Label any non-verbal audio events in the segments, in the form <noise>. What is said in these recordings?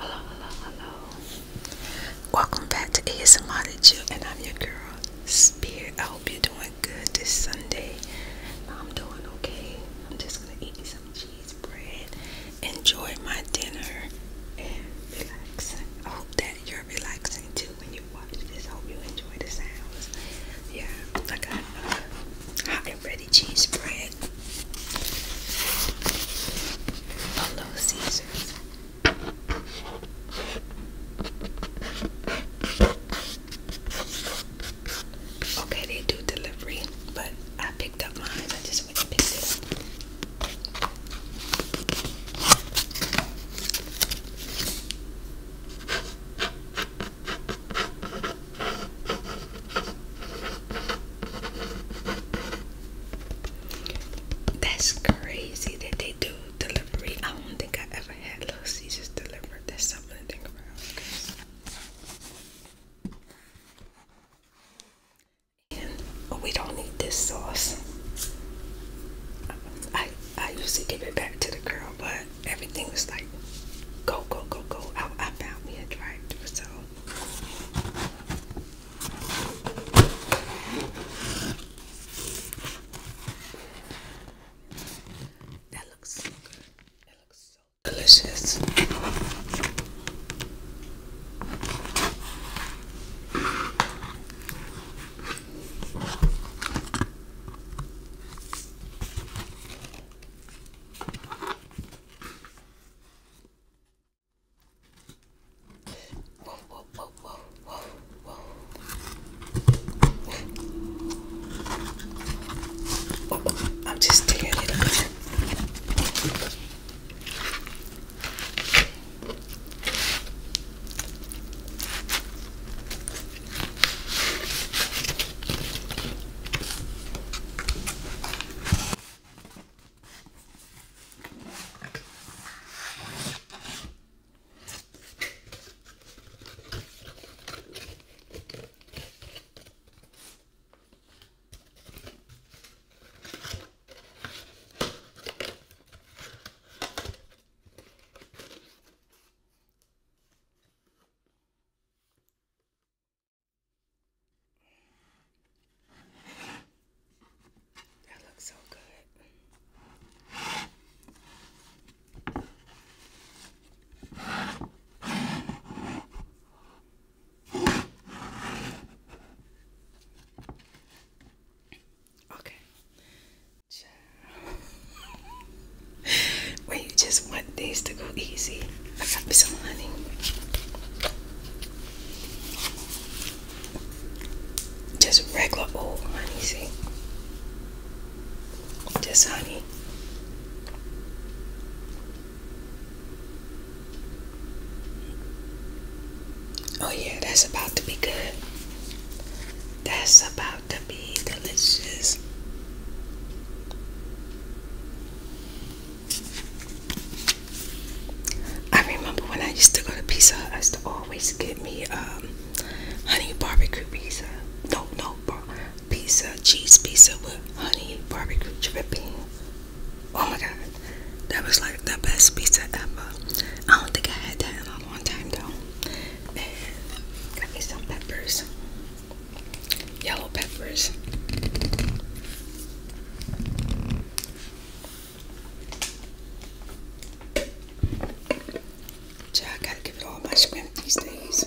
Hello, hello, hello. Welcome back to ASMR and I'm your girl, Spirit of I hope you're doing good this Sunday. I'm doing okay. I'm just gonna eat some cheese bread, enjoy my dinner, and relax. I hope that you're relaxing too when you watch this. hope you enjoy the sounds. Yeah, I got hot and ready cheese bread. A little Caesars. Okay, they do delivery, but I picked up mine. I just went to pick it up. That's crazy that they do delivery. I don't think I ever had Little delivery remember. something to think about, we don't need this sauce. I I used to give it back to the girl, but everything was like, go go go go. I, I found me a drive do so. That looks so good. That looks so delicious. Whoa, whoa, whoa, whoa. I'm just tearing it up. That looks so good. Okay. when you just want things to go easy, I got me some honey. Just regular old honey, see? This honey. Oh, yeah, that's about to be good. That's about to be delicious. I remember when I used to go to Pizza I used to always get me um, honey barbecue pizza. No, no, pizza, cheese pizza with honey barbecue dripping. Oh my god, that was like the best pizza ever. I don't think I had that in a long time though. got me some peppers, yellow peppers. Gee, I gotta give it all my shrimp these days.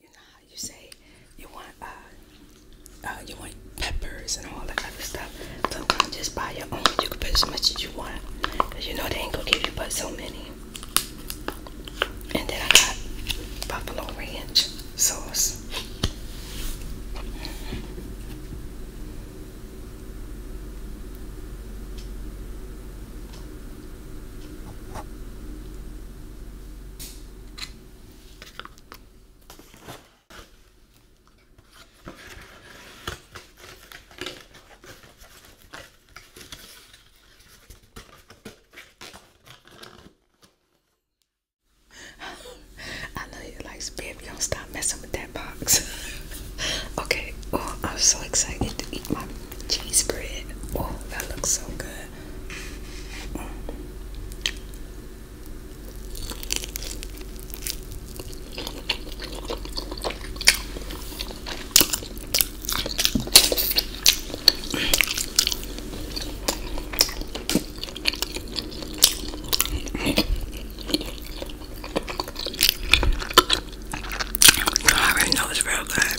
You know how you say you want uh, uh, you want peppers and all that other stuff. Sometimes just buy your own. You can put as much as you want. Cause you know they ain't gonna give you but so many. And then I got buffalo ranch sauce. I know you like spirit, you don't stop messing with that box. <laughs> okay, oh, I'm so excited to eat my cheese bread. Oh, that looks so good. I already know it's real good.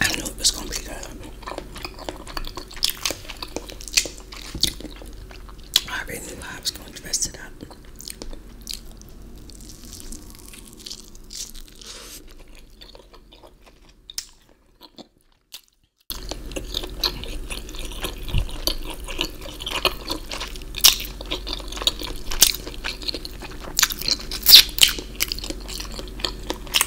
I knew it was gonna be good. I already knew I was gonna dress it up. I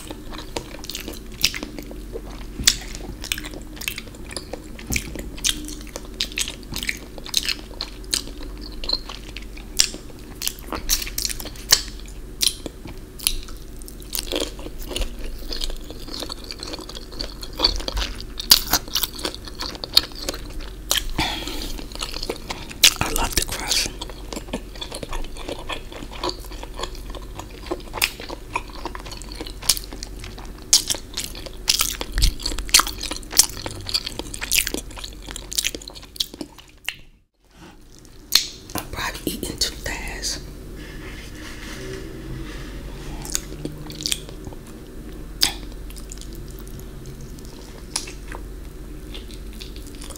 love the crust. I'm probably eating too fast.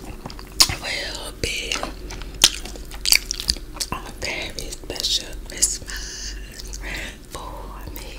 will be a very special Christmas for me.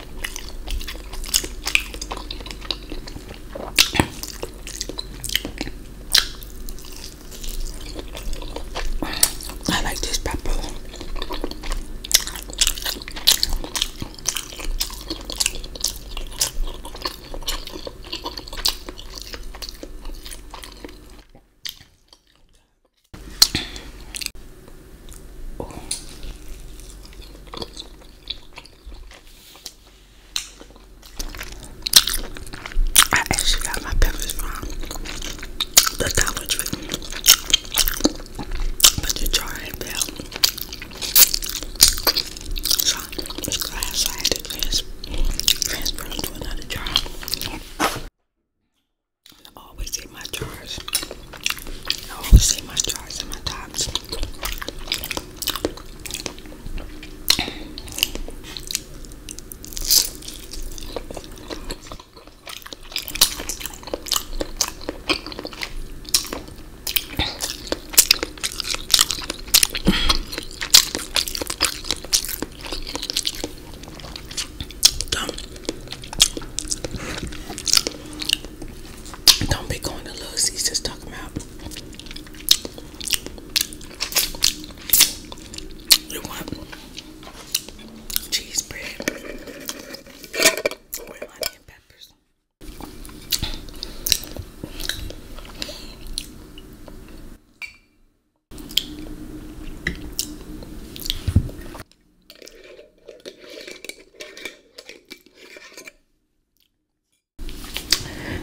I like this pepper. I actually got my peppers from the Dollar Tree, but the jar ain't fell. So this glass I had to trans transfer to another jar. I Always in my jars. I always in my jars and my tops. Don't, don't be going to lose. He's just talking about you want cheese bread with onion peppers.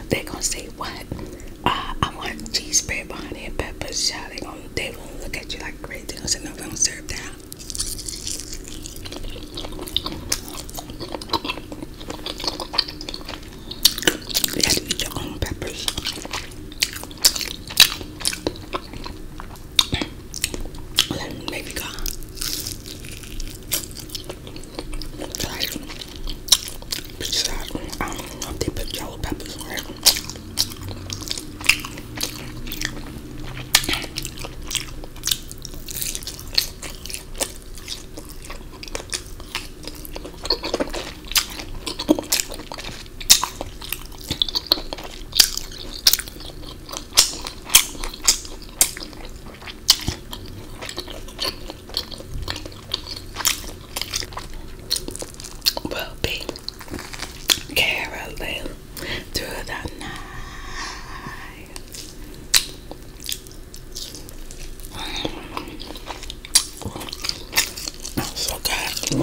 They're gonna say what? Uh, I want cheese bread, behind it, pepper shot. Oh, they gonna they gonna look at you like crazy. They're going i say no, we serve that. You have eat your own peppers. Let me baby go. I don't know if they put yellow peppers on it. We'll be caroling through the night. <sighs> so good.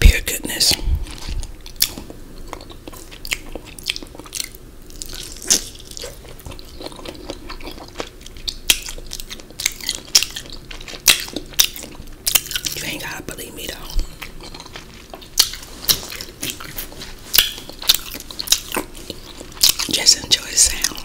Pure goodness. You ain't gotta believe me though. Just enjoy the sound.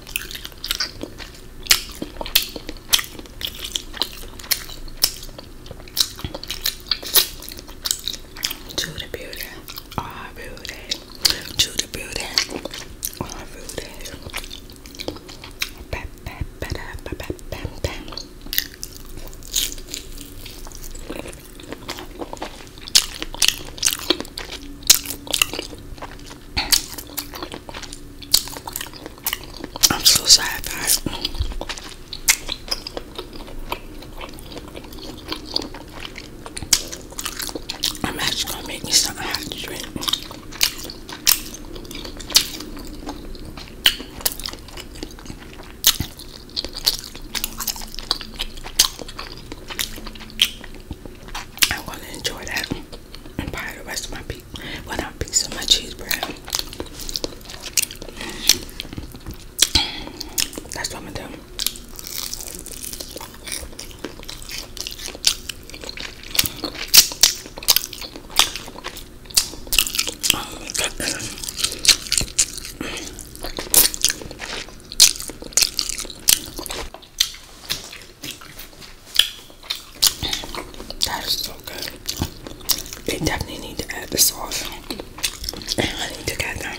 To the beauty, all beauty. To the beauty, all beauty. Ba ba ba da ba ba ba ba. I'm so sad guys. I'm actually gonna make me something I to drink. I'm to enjoy that and buy the rest of my why with a piece of my cheese bread. That's what I'm gonna do. Oh my goodness. That is so good. They definitely need to add the sauce and honey together.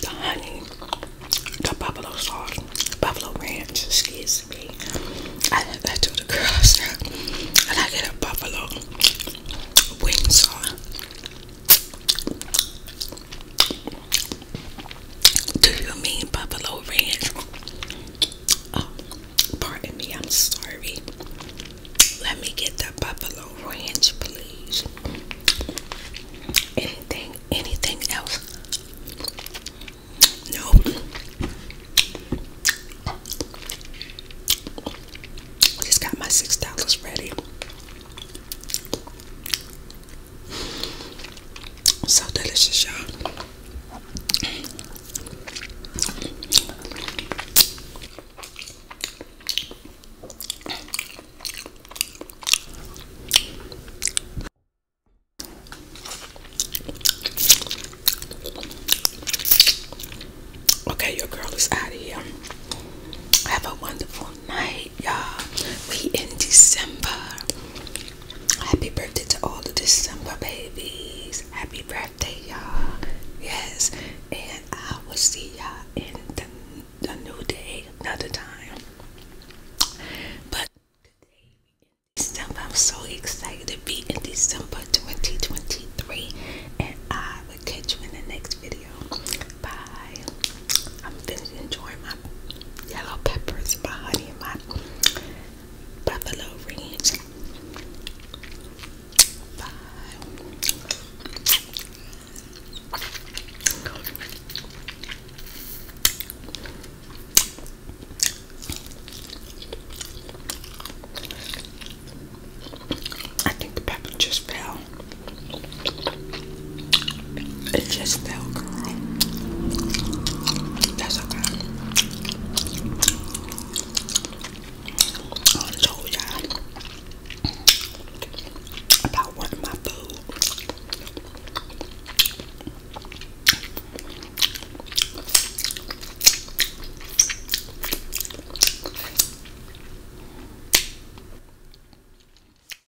The honey, the buffalo sauce, buffalo ranch, excuse me. I let that to the girls. And I get a buffalo wings on. Do you mean buffalo ranch? Oh, pardon me, I'm sorry. Let me get that buffalo ranch, please. Anything, anything else? No. Just got my six dollars ready. So delicious, y'all. Okay, your girl is out of here. Have a wonderful night y'all. We in December. Happy birthday to all the December babies. Happy birthday, y'all. Yes, and I will see y'all in the, new day another time. But today in December. I'm so excited to be in December 2023, and I will catch you in the next video. Bye. I'm finished enjoying my yellow peppers, my honey, and my buffalo ranch. I think the pepper just fell. It just still girl. That's okay. I told y'all about wanting my food.